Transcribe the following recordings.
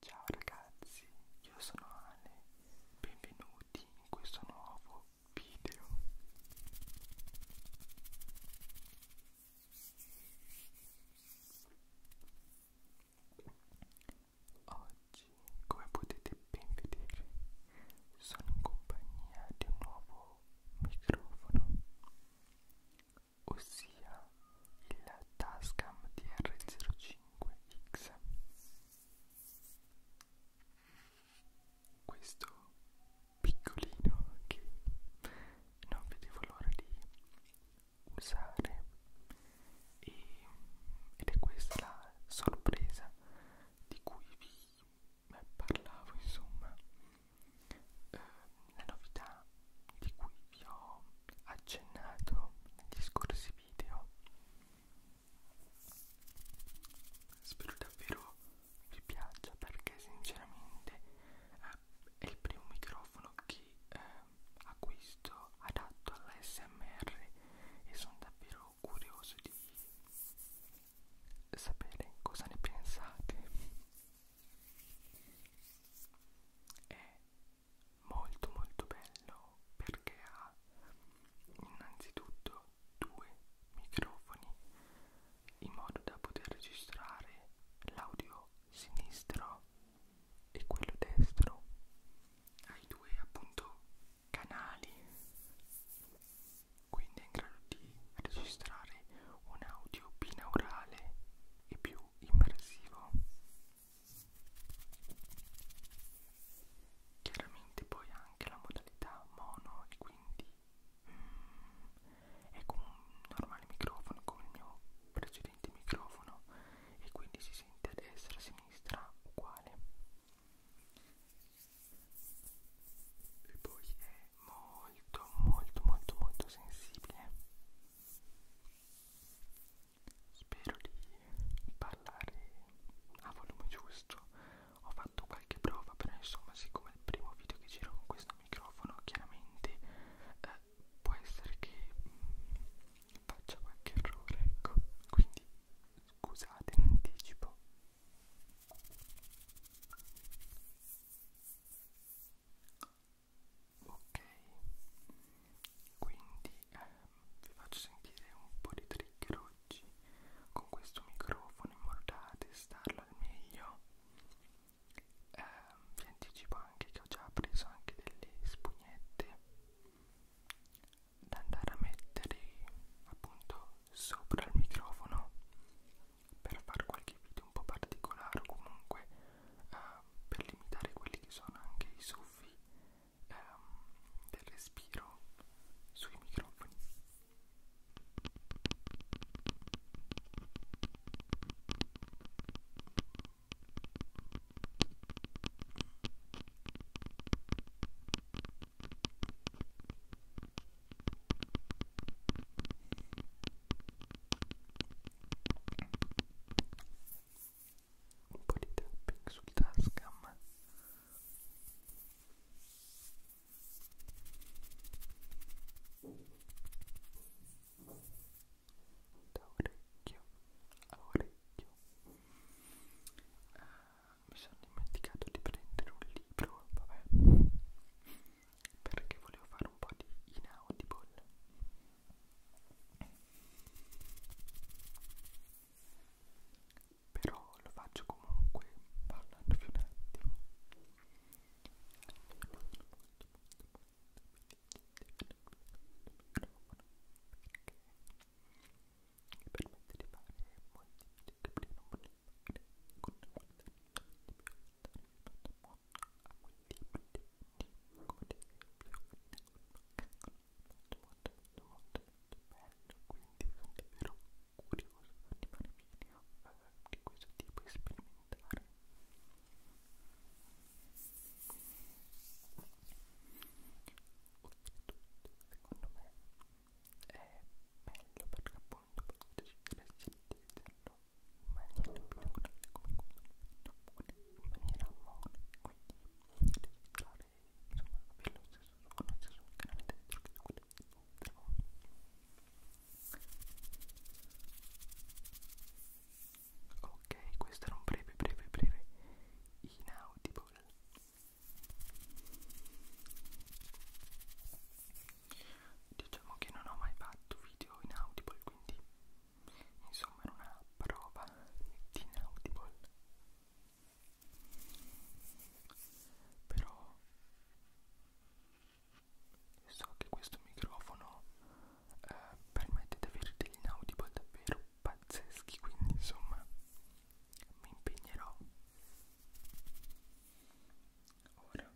Ciao ragazzi, io sono Ale, benvenuti in questo nuovo video. Oggi, come potete ben vedere, sono in compagnia di un nuovo microfono, ossia il Tascam DR05X. Questo piccolino che non vedevo l'ora di usare e, ed è questa la sorpresa di cui vi parlavo insomma eh, la novità di cui vi ho accennato negli scorsi video. Spero davvero vi piaccia perché sinceramente eh, è il primo microfono che eh, acquisto adatto all'SMR e sono davvero curioso di sapere cosa ne pensate. È molto molto bello perché ha innanzitutto due microfoni in modo da poter registrare l'audio sinistro e quello destro ai due appunto canali quindi è in grado di registrare un audio binaurale e più immersivo chiaramente poi anche la modalità mono e quindi mm, è come un normale microfono come il mio precedente microfono e quindi si sente a destra a sinistra uguale e poi è molto molto molto molto sensibile Spero di parlare a volume giusto. Ho fatto qualche prova, però insomma, siccome è il primo video che giro con questo microfono, chiaramente eh, può essere che mh, mm, faccia qualche errore, ecco. Quindi scusate in anticipo. Ok, quindi eh, vi faccio sentire un po' di trigger oggi con questo microfono in modo da testarlo al meglio. Eh, vi anticipo anche che ho già preso anche delle spugnette da andare a mettere appunto sopra il microfono per fare qualche video un po' particolare o comunque eh, per limitare quelli che sono anche i soffi ehm, del respiro sui microfoni un po' di tapping sul tascam da orecchio a orecchio ah, mi sono dimenticato di prendere un libro vabbè perché volevo fare un po' di inaudible però lo faccio comunque parlandovi un attimo mi permette di fare molti che non volevo fare con una volta di più a quel tipo di come ad esempio con una molto molto molto bello quindi sono davvero curioso di fare video eh, di questo tipo e sperimentare oltretutto secondo me è meglio perché appunto potete decidere se utilizzarlo in maniera più naturale come quando lo in maniera mono quindi entrare insomma per lo stesso con lo stesso chiaramente dentro che quello del mondo ok questo era un breve breve breve inaudible diciamo che non ho mai fatto video inaudible quindi insomma era una prova di inaudible però so che questo microfono eh, permette di avere degli inaudible davvero pazzeschi quindi insomma mi impegnerò ora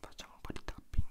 facciamo un po' di tapping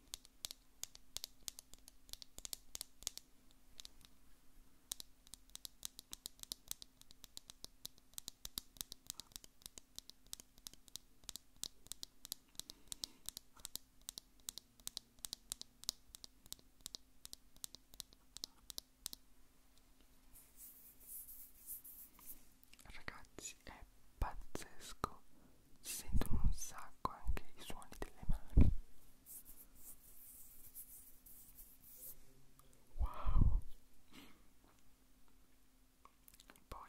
Ragazzi, è pazzesco si sentono un sacco anche i suoni delle mani wow poi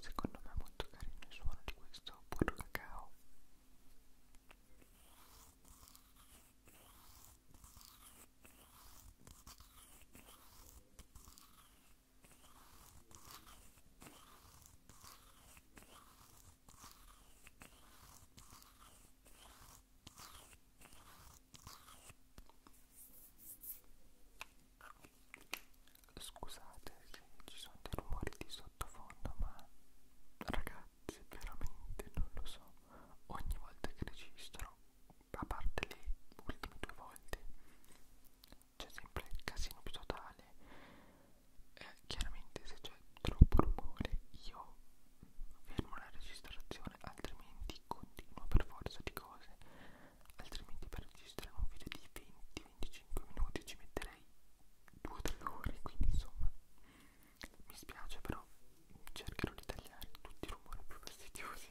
Secondo me è molto carino il suono di questo burro cacao. Scusate se ci sono dei rumori di sottofondo, ma ragazzi, veramente non lo so. Ogni volta che registro, a parte le ultime due volte, c'è sempre il casino più totale. Eh, chiaramente se c'è c'è troppo rumore io fermo la registrazione altrimenti continuo per forza di cose altrimenti per registrare un video di 20-25 minuti ci metterei 2-3 ore quindi insomma mi spiace però cercherò di tagliare tutti i rumori più fastidiosi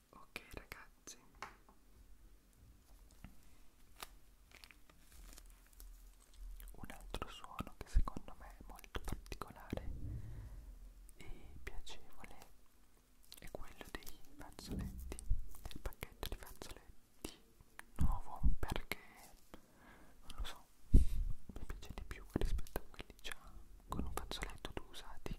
Ok ragazzi, un altro suono che secondo me è molto particolare e piacevole è quello dei fazzoletti, del pacchetto di fazzoletti nuovo perché non lo so, mi piace di più rispetto a quelli già con un fazzoletto tu usati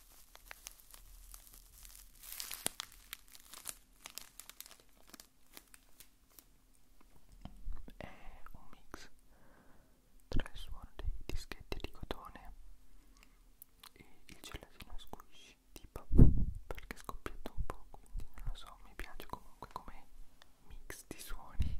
È un mix tra il suono dei dischetti di cotone e il gelatino squishy tipo perché scoppietto un po' quindi non lo so mi piace comunque come mix di suoni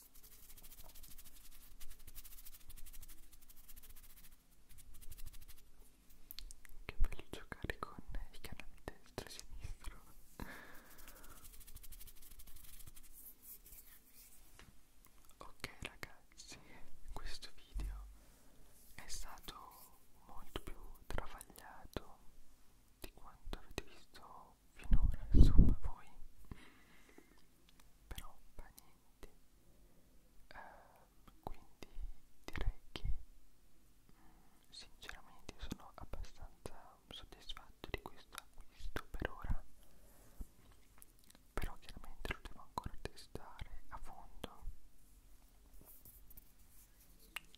Che bello giocare con i canali destro e sinistro. ok ragazzi, questo video è stato molto più travagliato di quanto avete visto finora, insomma voi però fa niente eh, quindi direi che mh, mm, sinceramente sono abbastanza soddisfatto di questo acquisto per ora però chiaramente lo devo ancora testare a fondo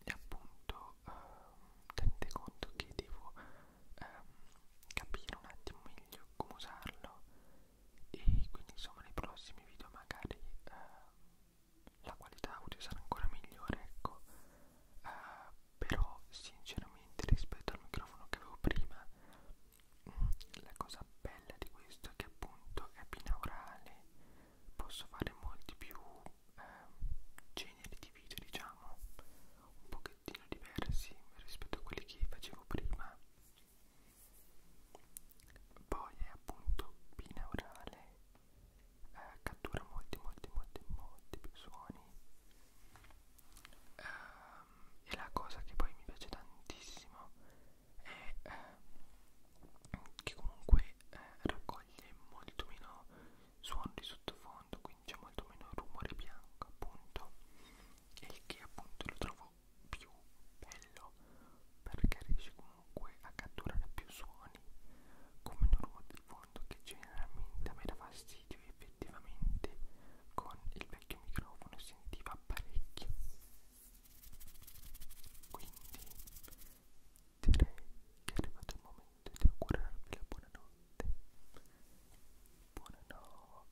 e appunto eh, tenete conto che devo ehm, capire un attimo meglio come usarlo e quindi insomma nei prossimi video magari ehm, la qualità audio sarà ancora migliore ecco eh, però sinceramente rispetto al microfono che avevo prima mm, la cosa bella di questo è che appunto è binaurale posso fare molti più eh, generi di video diciamo un po' che pochettino diversi rispetto a quelli che facevo prima poi è appunto binaurale eh, cattura molti molti molti molti più suoni eh, e la cosa che poi mi piace tantissimo è eh, che comunque eh, raccoglie molto meno suoni di sottofondo cui c'è molto meno rumore bianco appunto e il che appunto lo trovo più bello perché riesce comunque a catturare più suoni con meno rumore di fondo che generalmente a me dà fastidio effettivamente con il vecchio microfono sentiva parecchio quindi direi che è arrivato il momento di augurarvi la buonanotte buonanotte